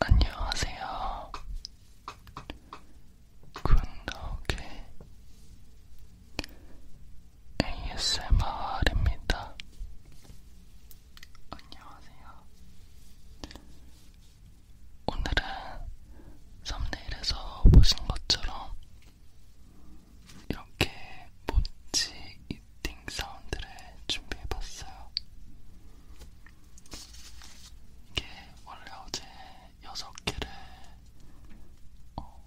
안녕하세요. 군더욱의 ASMR입니다. 안녕하세요. 오늘은 썸네일에서 보신 것처럼 이렇게 모찌 이팅 사운드를 준비해봤어요. 이게 원래 어제 6개를 어,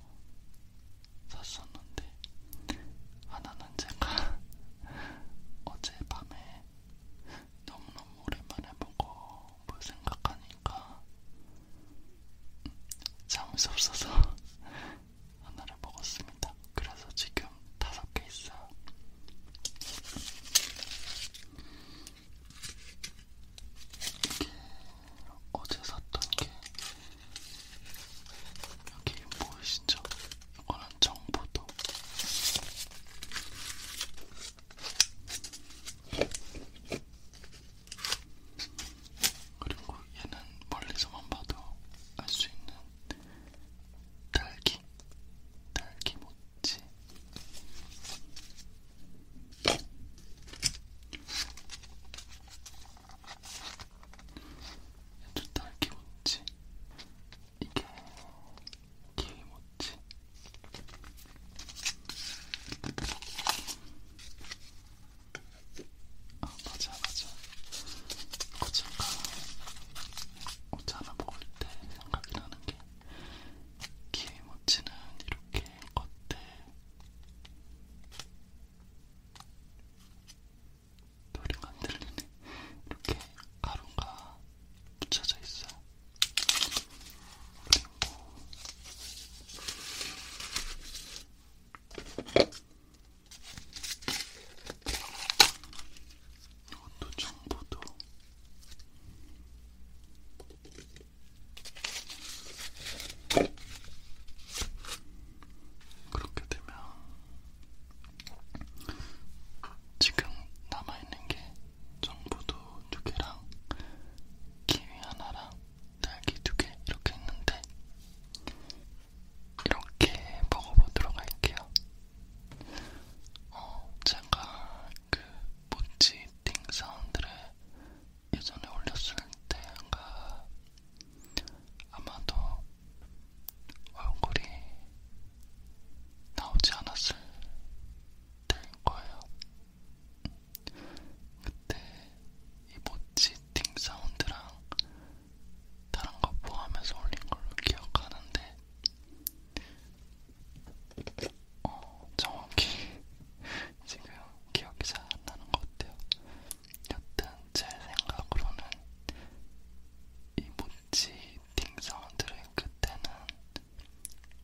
샀었는데 하나는 제가 어젯밤에 너무너무 오랜만에 보고 뭘 생각하니까 음, 잠이 없어서 하나를 먹었습니다. 그래서 지금 다섯 개 있어요. 이게 어제 샀던 게 여기 보이시죠? 이거는 정보도 그리고 얘는 멀리서만 봐도 알 수 있는 딸기, 딸기 모찌. 얘도 딸기 모찌. 이게 키위 모찌. 아 맞아 맞아 그거 잠깐 옷 하나 먹을 때 생각이 나는 게 게임워치는 이렇게 겉에 소리가 안 들리네 이렇게 가루가 붙여져 있어요 그리고 이것도 정보도 그렇게 되면 지금 남아있는 게 정보도 두 개랑 키위 하나랑 딸기 두개 이렇게 했는데 이렇게 먹어보도록 할게요. 어, 제가 그 모찌 띵 사운드를 예전에 올렸을 때가 아마도 얼굴이 나오지 않았을 때일 거예요. 그때 이 모찌 시팅 사운드랑 다른 거 포함해서 올린 걸로 기억하는데 어, 정확히 지금 기억이 잘 안 나는 것 같아요. 여튼 제 생각으로는 이 모찌 팅 사운드를 그때는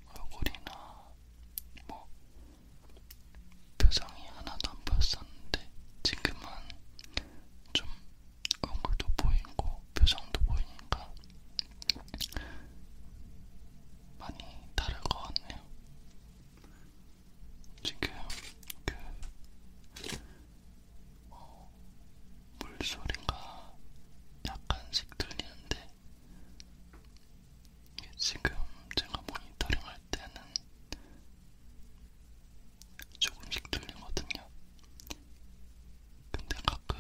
얼굴이나 뭐 표정이 하나도 안 보였었는데 지금은 좀 얼굴도 보이고 표정도 보이니까 많이 다를 것 같네요. 지금 그 어, 물소리가 약간씩 들리는데 지금 제가 모니터링 할 때는 조금씩 들리거든요. 근데 가끔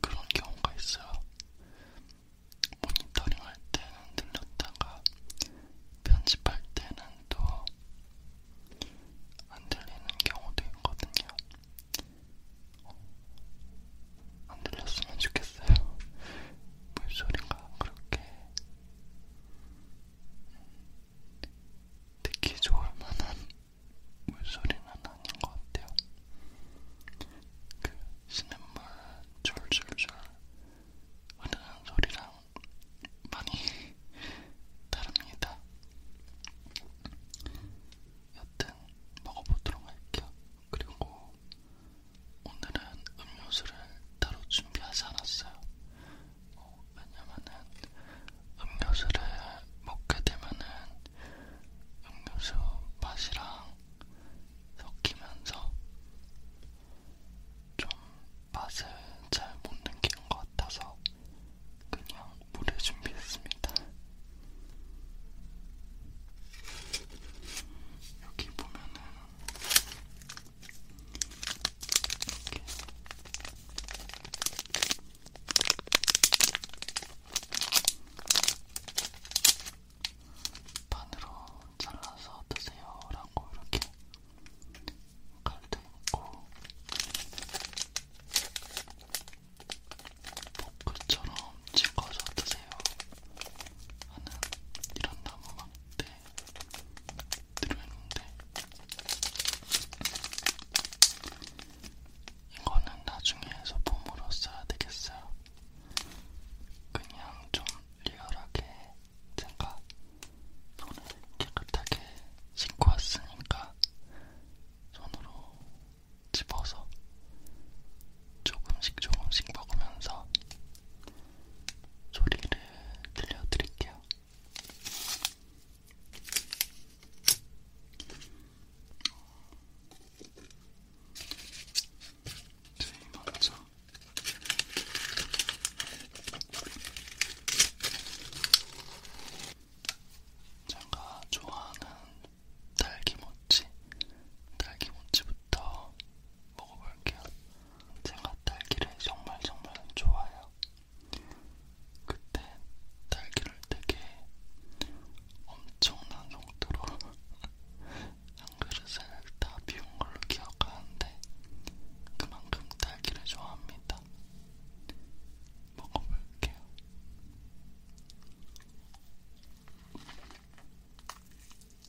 그런 경우가 있어요. 모니터링 할 때는 들렸다가 편집할 때는 또 안 들리는 경우도 있거든요. 안 들렸으면 좋겠어요. 물소리가 그렇게 듣기 좋을 만한 물소리는 아닌 것 같아요. 그 시냇물 줄줄줄 흐르는 소리랑 많이 다릅니다. 여튼 먹어보도록 할게요. 그리고 오늘은 음료수를 따로 준비하지 않았어요. 어, 왜냐면은 음료수를 먹게 되면은 음료수 맛이랑 섞이면서 좀 맛을 잘 못 느끼는 것 같아서 그냥 물을 준비했습니다. 여기 보면은 이렇게. 반으로 잘라서 드세요라고 이렇게 칼도 있고 포크처럼 찍어서 드세요 하는 이런 나무 막대 들어있는데 이거는 나중에 소품으로 써야 되겠어요. 그냥 좀 리얼하게 제가 손을 깨끗하게 씻고 왔으니까 손으로 집어서 조금씩 조금씩 먹으면서 소리를 들려드릴게요. 제일 먼저 제가 좋아하는 딸기모찌, 딸기모찌부터 먹어볼게요. 제가 딸기를 정말 정말 좋아해요. 그때 딸기를 되게 엄청난 정도로 한 그릇을 다 비운 걸로 기억하는데 그만큼 딸기를 좋아합니다. 먹어볼게요.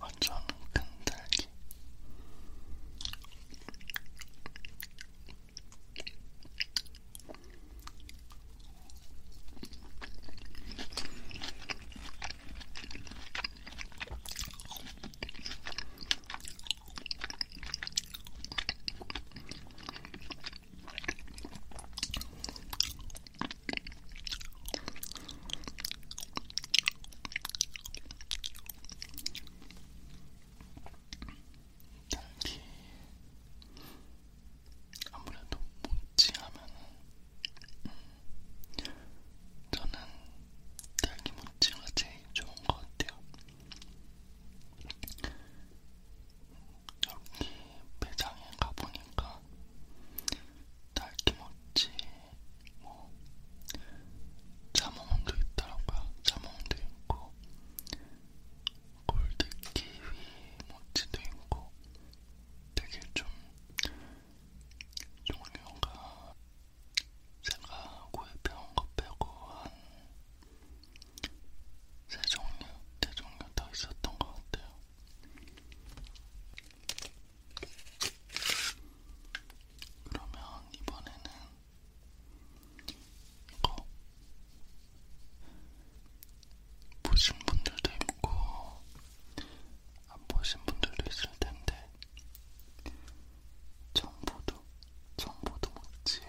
완전 큰 딸기. 딸기 아무래도 모찌하면은 음, 저는 딸기 모찌가 제일 좋은 것 같아요. 여기 매장에 가보니까 딸기모찌, 뭐 자몽도 있더라고요. 자몽도 있고 골드키위 모찌도 있고 되게 좀 종류가 제가 구입해온 것 빼고 한 세 종류, 네 종류 더 있었던 것 같아요. 그러면 이번에는 이거 보신 분들도 있고 안 보신 분들도 있을 텐데 정보도, 정보도 못지예요.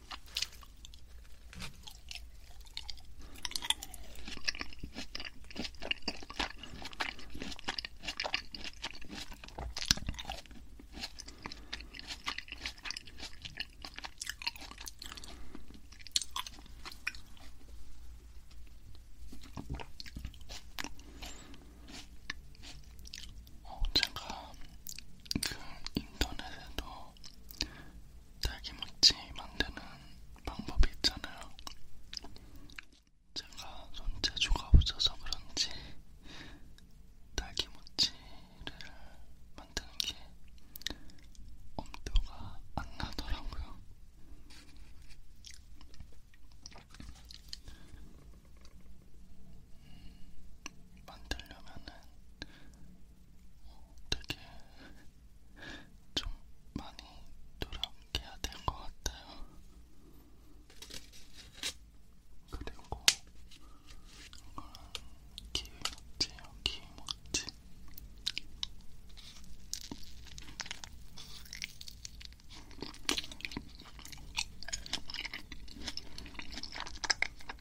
어, 제가 그 인터넷에도 딸기모찌 만드는 방법이 있잖아요. 제가 손재주가 없어서 그런지 딸기모찌를 만드는 게 엄두가 안 나더라고요. 음, 만들려면은 되게 좀 많이 노력해야 될 것 같아요. 그리고 이거는 키위먹지요, 키위먹지.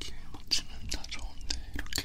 기회 맞추면 다 좋은데 이렇게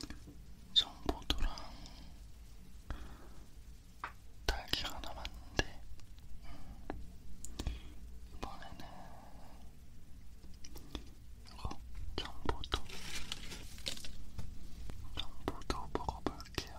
지금 정보도랑 딸기 하나 왔는데 음, 이번에는 이거 정보도 정보도 먹어볼게요.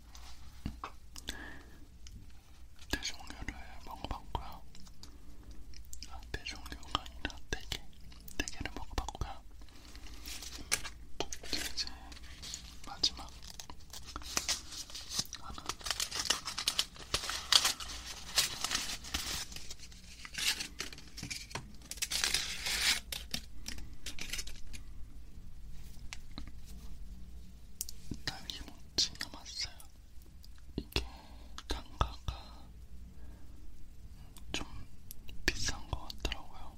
대종류를 먹어봤고요. 아, 대종류가 아니라 대게, 대게를 먹어봤고요. 이제 마지막 하나. 딸기모찌 남았어요. 이게 단가가 좀 비싼 것 같더라고요.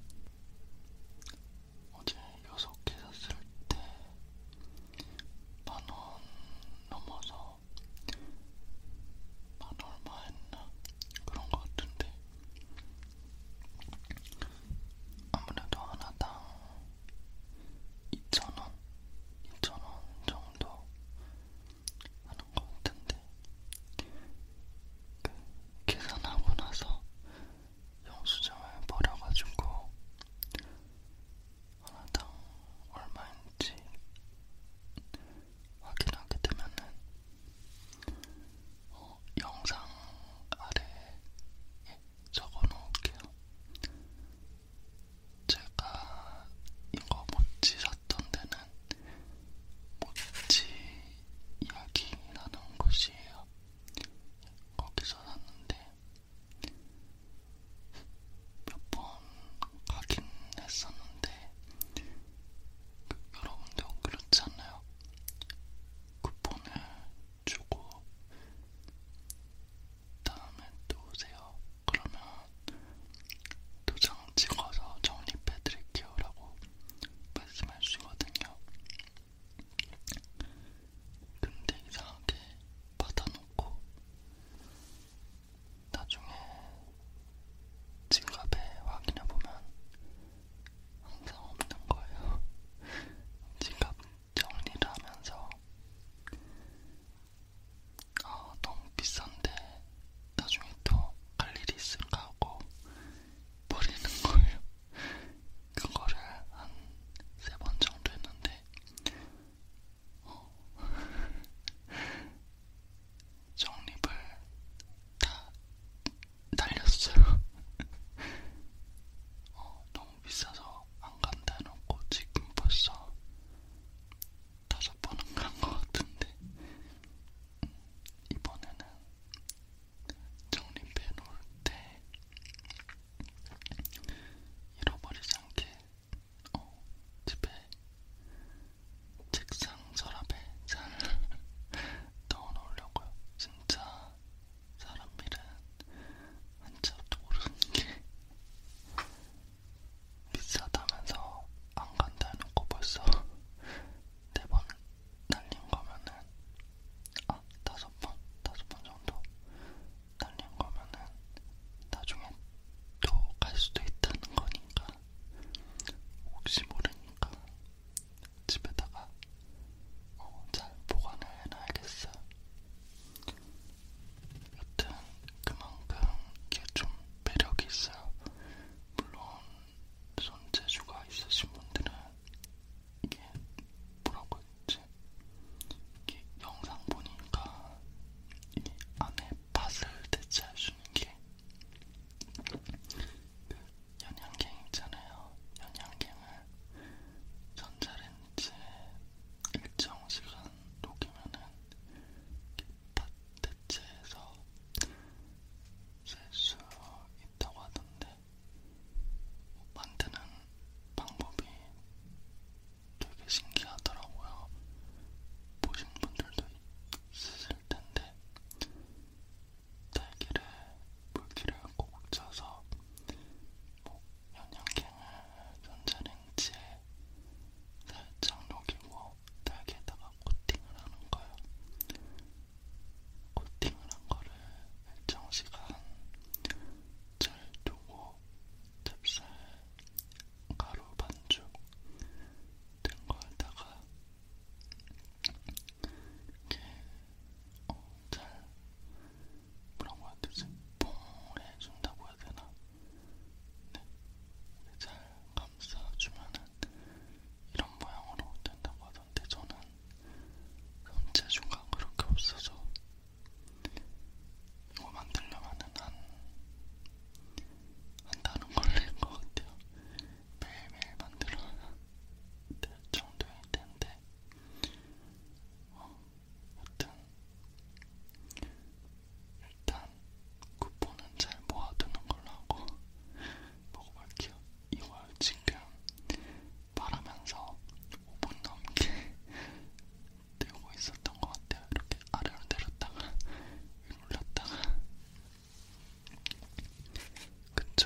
어제 6개 샀을 때 만 원 넘어서 만 얼마 했나? 그런 것 같은데 아무래도 하나당 2,000원, 2,000원 정도 하는 것 같은데 그 계산하고 나서 영수증을 버려가지고 하나당 얼마인지 확인하게 되면은 어, 영상 아래에 예, 적어놓을게요. 제가 이거 모찌 샀던 데는 모찌 이야기라는 곳이에요. 거기서 샀는데 몇 번 가긴 했었는데 그, 여러분도 그렇지 않나요? 쿠폰을 주고 다음에 또 오세요. 그러면 도장 찍어서 정립해드릴게요. 라고 말씀해 주시거든요. 근데 이상하게 받아놓고 나중에 지갑에 확인해보면 항상 없는 거예요. 지갑 정리를 하면서 아 너무 비싼데 나중에 또 갈 일이 있을까 하고 버리는 거예요. 그거를 한 세 번 정도 했는데 어. 정립을 다 달렸어요. 어, 너무 비싸서 안 간다 해놓고 지금 벌써 다섯 번은 간것 같은데 음, 이번에는 정립해 놓을 때 잃어버리지 않게 어, 집에 책상 서랍에 잘 넣어 놓으려고요. 진짜 사람 일은 한참도 모르는 게 비싸다면서 안 간다 해놓고 벌써 네번 날린 거면은 아 다섯 번 다섯 번 정도 날린 거면은 나중에 또 갈 수도 있다는 거니까 혹시 모르니까 집에다가 어, 잘 보관을 해놔야겠어요. 여튼 그만큼 이게 좀 매력이 있어요. 물론 손재주가 있으신 분들은 이게 뭐라고 했지? 이게 영상 보니까 이 안에 밭을 대체할 수 있는 게 연양갱 있잖아요. 연양갱을 전자레인지에 일정 시간 녹이면은 팥대체에서 쓸 수 있다고 하던데 만드는 방법이 되게 신기하더라고요. 보신 분들도 있을 텐데 딸기를 물기를 꼭꼭 짜서 뭐 영양갱을 전자레인지에 살짝 녹이고 딸기에다가 코팅을 하는 거예요. 코팅을 한 거를 일정 시간 잘 두고 찹쌀 가루 반죽 된 거에다가 이렇게 어, 잘 뭐라고 해야 되지? 봉해준다고 해야 되나? 네, 잘 감싸주면은 이런 모양으로 된다고 하던데 저는 손재주가 그렇게 없어서 이거 만들려면은 한, 한 달은 걸릴 것 같아요. 매일매일 만들어야 될 정도일 텐데, 어, 여튼, 일단 쿠폰은 잘 모아두는 걸로 하고, 먹어볼게요. 이걸 지금 말하면서 5분 넘게 들고 있었던 것 같아요. 이렇게 아래로 내렸다가 위로 올렸다가 그쵸?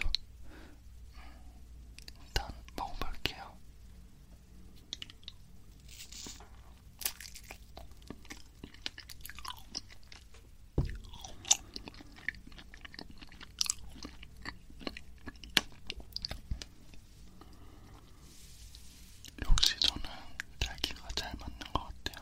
일단 먹어볼게요. 역시 저는 딸기가 잘 맞는 것 같아요.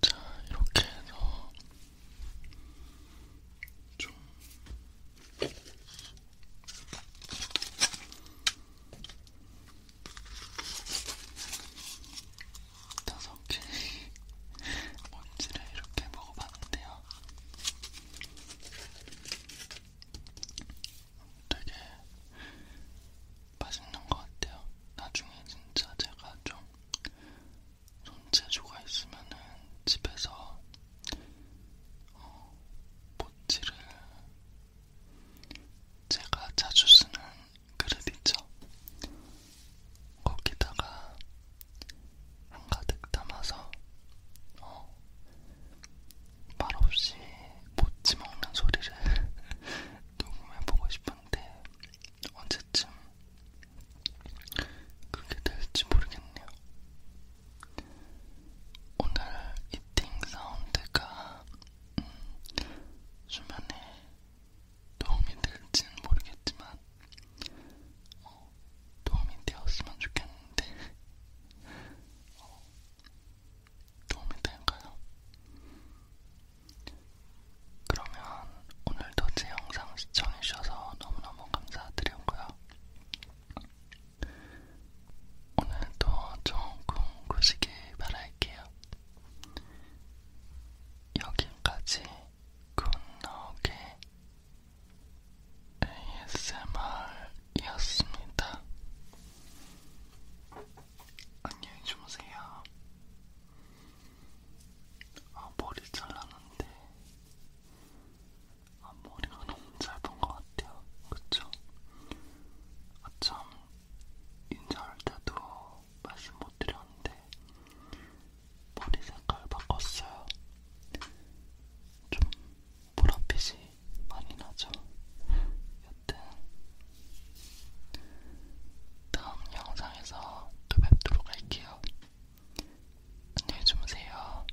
자, 이렇게 해서 좀 다섯 개의 먼지를 이렇게 먹어봤는데요. 되게 맛있는 것 같아요. 나중에 진짜 제가 좀 손재주가 있으면은 집에서 어, 모찌를 제가 자주 쓰는 그릇 있죠? 거기다가 한가득 담아서 어, 말없이 못지 먹는 소리를 녹음해보고 싶은데 언제쯤 그게 될지 모르겠네요. 오늘 이팅 사운드가 음, 수면에 도움이 될지는 모르겠지만 어, 도움이 되었으면 좋겠는데 어, 도움이 될까요? 그러면 오늘도 제 영상 시청해주셔서 너무너무 감사드리고요. 오늘도 좋은 꿈 꾸시길 바랄게요. 여기까지 굿나오게 ASMR이었습니다. 안녕히 주무세요. 아, 머리 잘랐는데 앞머리가 아, 너무 짧은 것 같아요. 그쵸? 아참 인사할 때도 말씀 못 드렸는데 머리 색깔 바꿨어요. 좀 보랏빛이 많이 나죠. 여튼 다음 영상에서 또 뵙도록 할게요. 안녕히 주무세요.